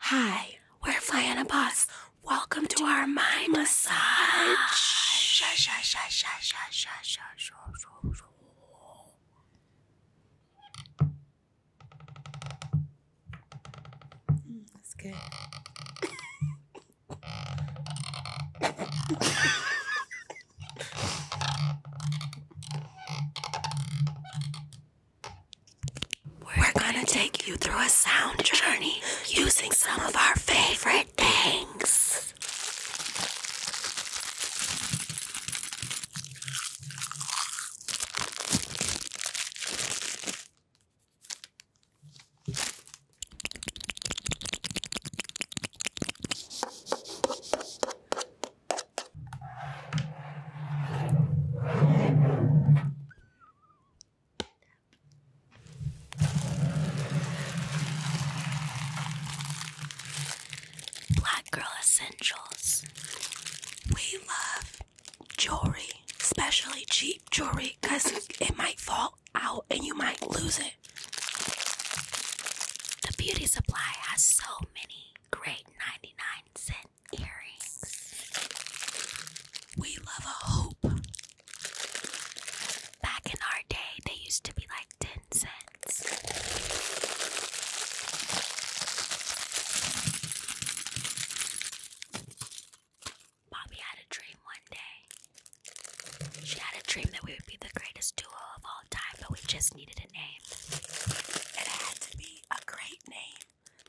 Hi, we're flying a bus. Welcome to our mind massage. Mm, that's good. We're gonna take you through a sound journey using some of our favorite things. Black Girl Essentials. We love jewelry, especially cheap jewelry, because it might fall out and you might lose it. The beauty supply has so many great 99 cent earrings. We love a hoop. Back in our day, they used to be like 10 cents. Bobby had a dream one day. She had a dream that we would be the greatest duo of all time, but we just needed name. It had to be a great name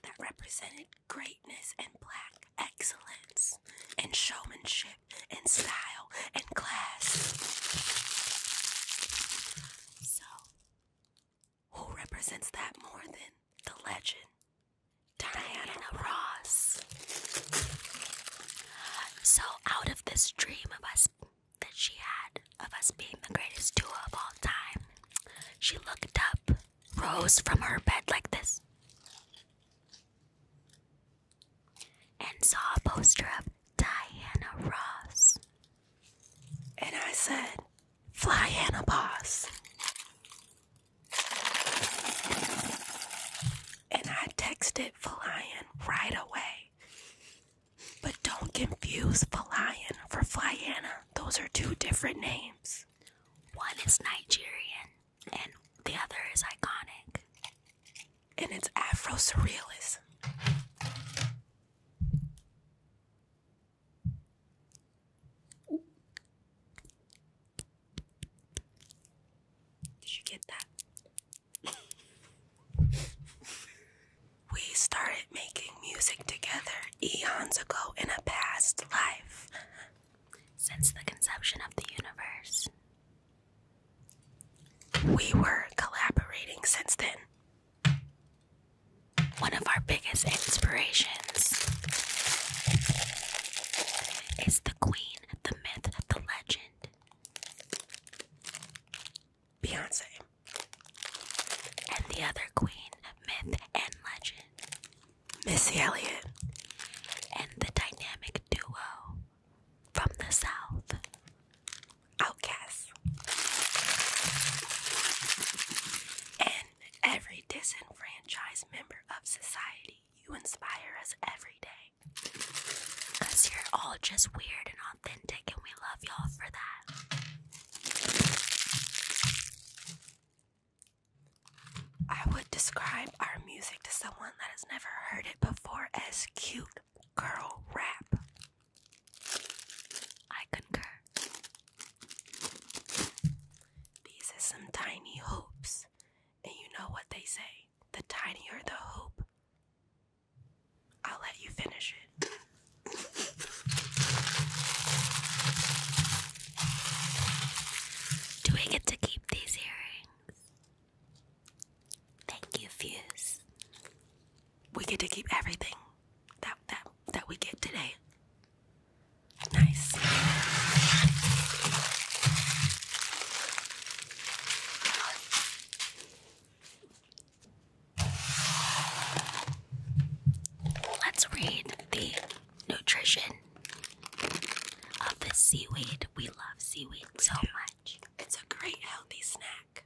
that represented greatness and black excellence and showmanship and style and class. So, who represents that more than the legend? Diana Ross. So, out of this dream of us that she had of us being the greatest duo of all time. She looked up, rose from her bed like this, and saw a poster of Diana Ross. And I said, Fly Anna Boss. And I texted Flying right away. But don't confuse Falayan for Flyanna. Those are two different names. One is Nigerian and the other is iconic. And it's Afro surrealism. Did you get that? we started making music together eons ago in a past life. Since the conception of the universe, we were collaborating since then. One of our biggest inspirations is the queen, the myth, the legend. Beyonce. And the other queen, myth and legend, Missy Elliott. And the dynamic duo from the South, Outkast. And every disenfranchised member of society, you inspire us every day. Because you're all just weird and authentic, and we love y'all for that. I would describe our music to someone that has never heard it before as cute girl rap. I concur. These are some tiny hoops, and you know what they say the tinier the hoop, I'll let you finish it. Do we get to keep these earrings? Thank you, Fuse. We get to keep everything that that that we get today. Nice. Let's read the nutrition of the seaweed. We love seaweed so much. It's a great healthy snack.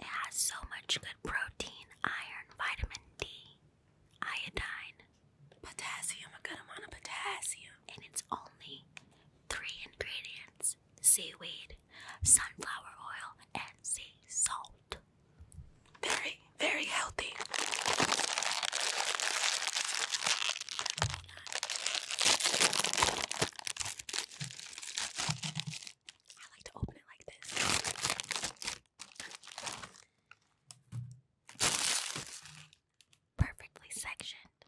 It has so much good protein, iron, vitamin D, iodine, potassium, a good amount of potassium. And it's only three ingredients seaweed, sunflower oil, and sea salt. Very, very healthy. I like to open it like this. Perfectly sectioned.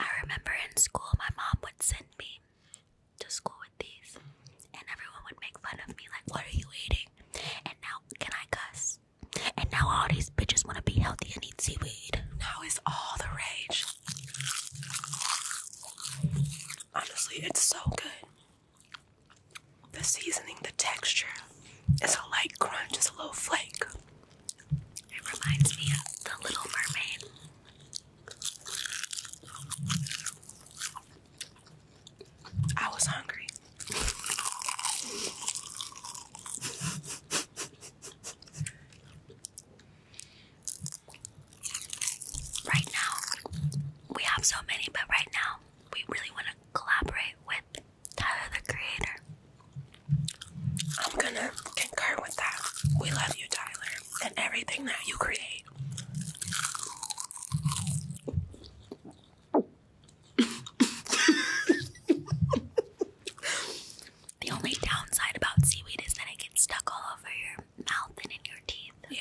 I remember in school, my mom would send me to school with these, and everyone would make fun of me, like, What are you eating? And now, can I cuss? And now all these bitches want to be healthy and eat seaweed. Now it's all the rage. Honestly, it's so good. The seasoning, the texture, it's a light crunch, it's a little flake. It reminds me of The Little Mermaid. I was hungry. Right now, we have so many, but right now, we really want to collaborate with Tyler the Creator. I'm gonna concur with that. We love you, Tyler, and everything that you create. the only downside about seaweed is that it gets stuck all over your mouth and in your teeth. Yeah.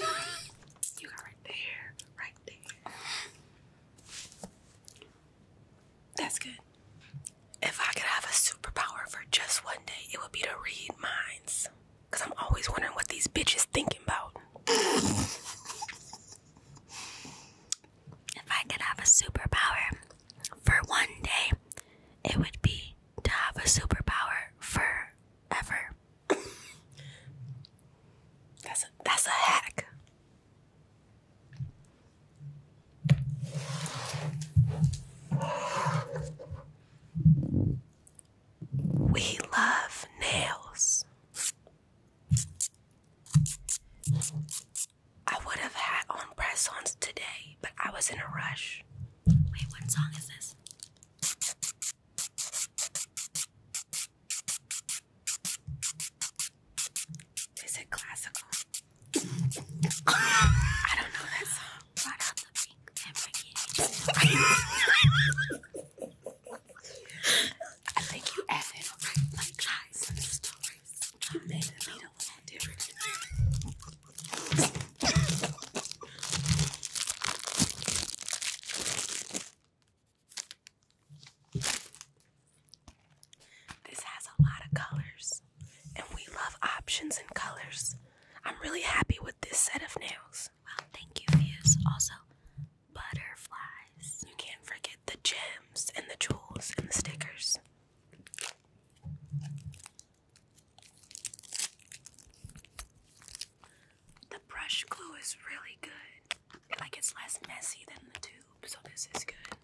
you got right there, right there. That's good. If I could have a superpower for just one day, it would be to read minds. Cause I'm always wondering what these bitches thinking about. if I could have a superpower for one day, it would be to have a superpower forever. that's a that's a hack. We love nails. I would have had on press ons today, but I was in a rush. Wait, what song is this? Is it classical? I don't know that song. Brought out the pink and forget I think you added like guys and You made it a little different. This has a lot of colors, and we love options and colors. I'm really happy with this set of nails views. thank you, views. Also, butterflies. You can't forget the gems and the jewels and the stickers. The brush glue is really good. Like it's less messy than the tube, so this is good.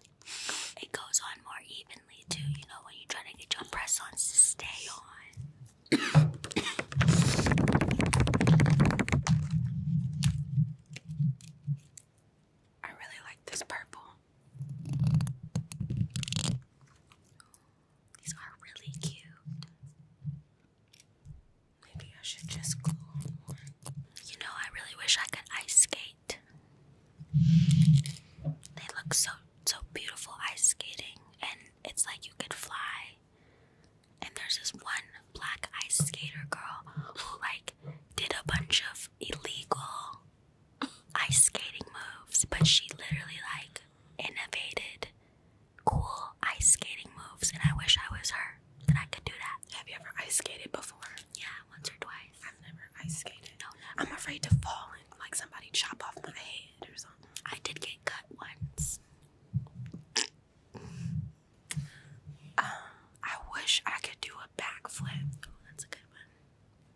It goes on more evenly too, you know, when you try to get your press on to stay on. I really like this purple. These are really cute. Maybe I should just glue You know, I really wish I could ice skate. They look so so beautiful ice skating and it's like you could fly and there's this one black ice skater girl who like did a bunch of illegal ice skating moves, but she literally like innovated cool ice skating moves, and I wish I was her that I could do that. Have you ever ice skated before? Yeah, once or twice. I've never ice skated. No, I'm afraid to fall and like somebody chop off my head or something. I did get cut once. Um, I wish I could do a backflip. that's a good one.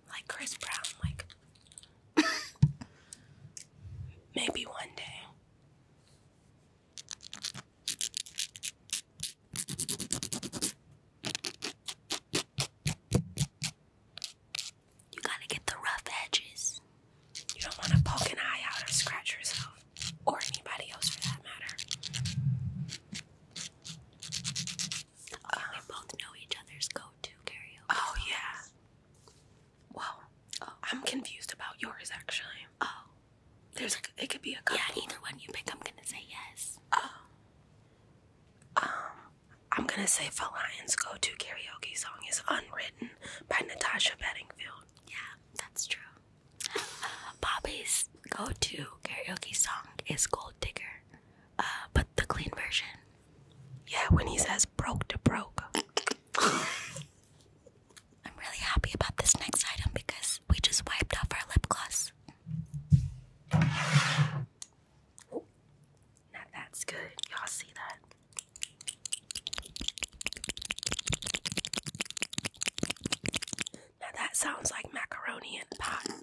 Like Chris Brown, like maybe one day. You gotta get the rough edges. You don't want to poke an eye out or scratch yourself, or anybody else for that matter. we both know each other's go-to karaoke. Oh yeah. Well, I'm confused about yours actually. Oh, there's it could be a Yeah, either one you pick, I'm gonna say yes. Oh. Um, I'm gonna say Falion's go-to karaoke song is "Unwritten" by Natasha Bedingfield yeah, that's true. Bobby's go-to karaoke song is Gold Digger, uh, but the clean version. Yeah, when he says broke to broke. I'm really happy about this next item because we just wiped off our lip gloss. that's good. Y'all see that? Now that sounds like macaroni and pie.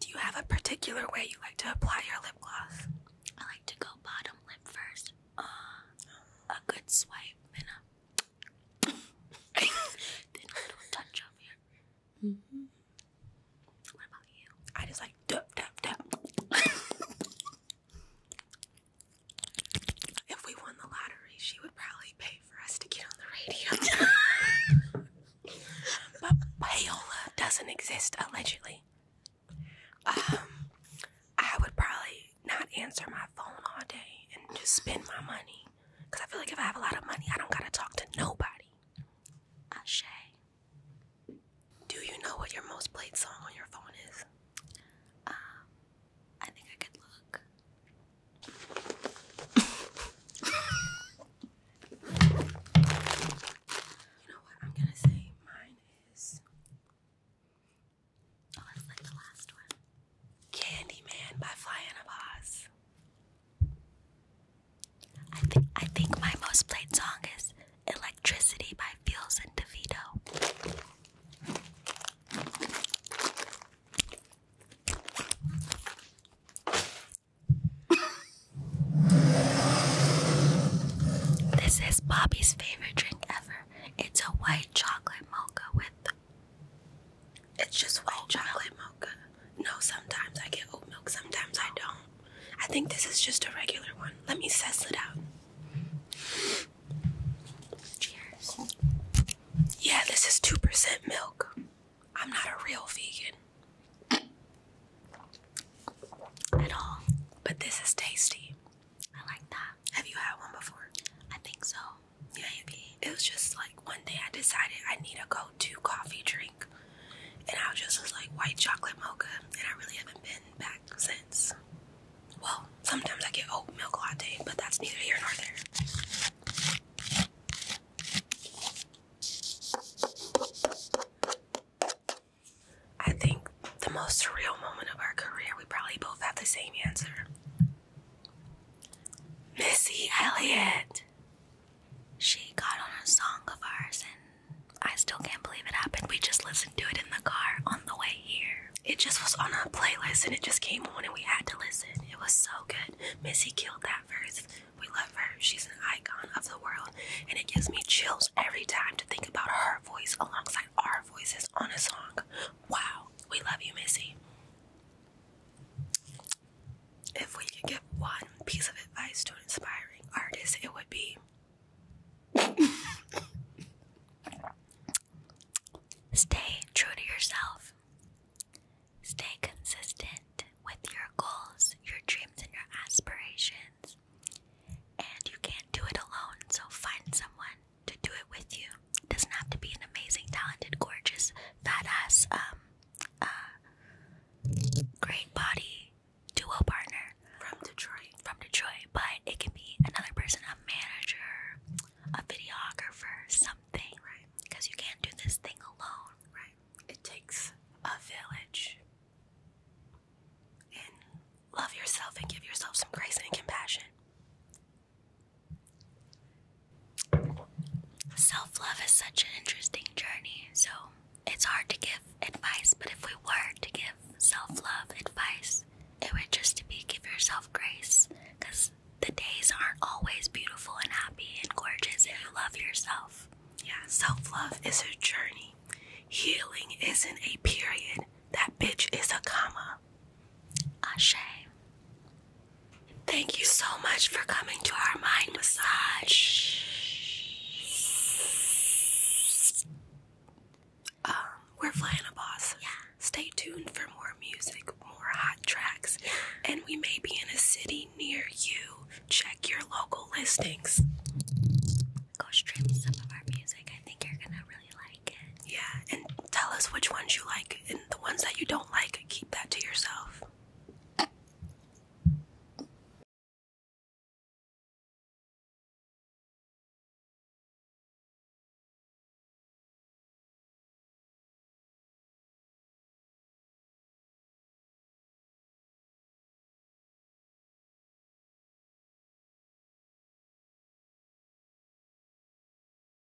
Do you have a particular way you like to apply your lip gloss? I like to go bottom lip first. Uh, a good swipe and I just like dup dup dup. if we won the lottery, she would probably pay for us to get on the radio. Um, but payola doesn't exist allegedly. Um, I would probably not answer my phone all day and just spend my money. Cause I feel like if I have a lot of money, I don't gotta talk to nobody. Ashe. Do you know what your most played song on your phone is? Um, I think I could look. you know what? I'm gonna say mine is. Oh, that's like the last one. Candyman by Flying of Oz. I think I think my most played song is Electricity by Fields and DeVito. this is Bobby's favorite drink ever. It's a white chocolate mocha with it's just white oh, chocolate mocha. No, sometimes I get oat milk, sometimes I don't. I think this is just a regular one. Let me suss it out. Cheers. Yeah, this is 2% milk. I'm not a real vegan. At all. But this is tasty. I like that. Have you had one before? I think so maybe it was just like one day I decided I need a go-to coffee drink, and I just was like white chocolate mocha, and I really haven't been back since. Well, sometimes I get oat milk latte, but that's neither here nor there. I think the most surreal moment of our career, we probably both have the same answer. Missy Elliott. She got on a song of ours, and I still can't believe it happened. We just listened to it in the car on the way here. It just was on our playlist, and it just came on, and we had to listen. It was so good. Missy killed that verse. We love her. She's an icon of the world, and it gives me chills every time to think about her voice alongside our voices on a song. Wow, we love you, Missy. If we could give one piece of advice to an aspiring artist, it would be stay true to yourself, stay consistent with your goals, your dreams, and your aspirations. And you can't do it alone, so find someone to do it with you. It doesn't have to be an amazing, talented, gorgeous, fat ass, um, uh, great body duo partner from Detroit. From Detroit, but it can be another person, a manager, a videographer, something. Right. Because you can't do this thing alone. Right. It takes a village. And love yourself and give yourself some grace and compassion. Self love is such an interesting journey, so it's hard to give advice. But if we were to give self love advice, it would just be give yourself grace because the days aren't always beautiful and happy and gorgeous if you love yourself. Yeah, self love is a journey. Healing isn't a period. That bitch is a comma. Ashe. Thank you so much for coming to our mind massage. Um, we're flying a bus. Stay tuned for more music, more hot tracks, and we may be in a city near you. Check your local listings. Go stream some of our music. I think you're gonna really like it. Yeah, and tell us which ones you like, and the ones that you don't like, keep that to yourself.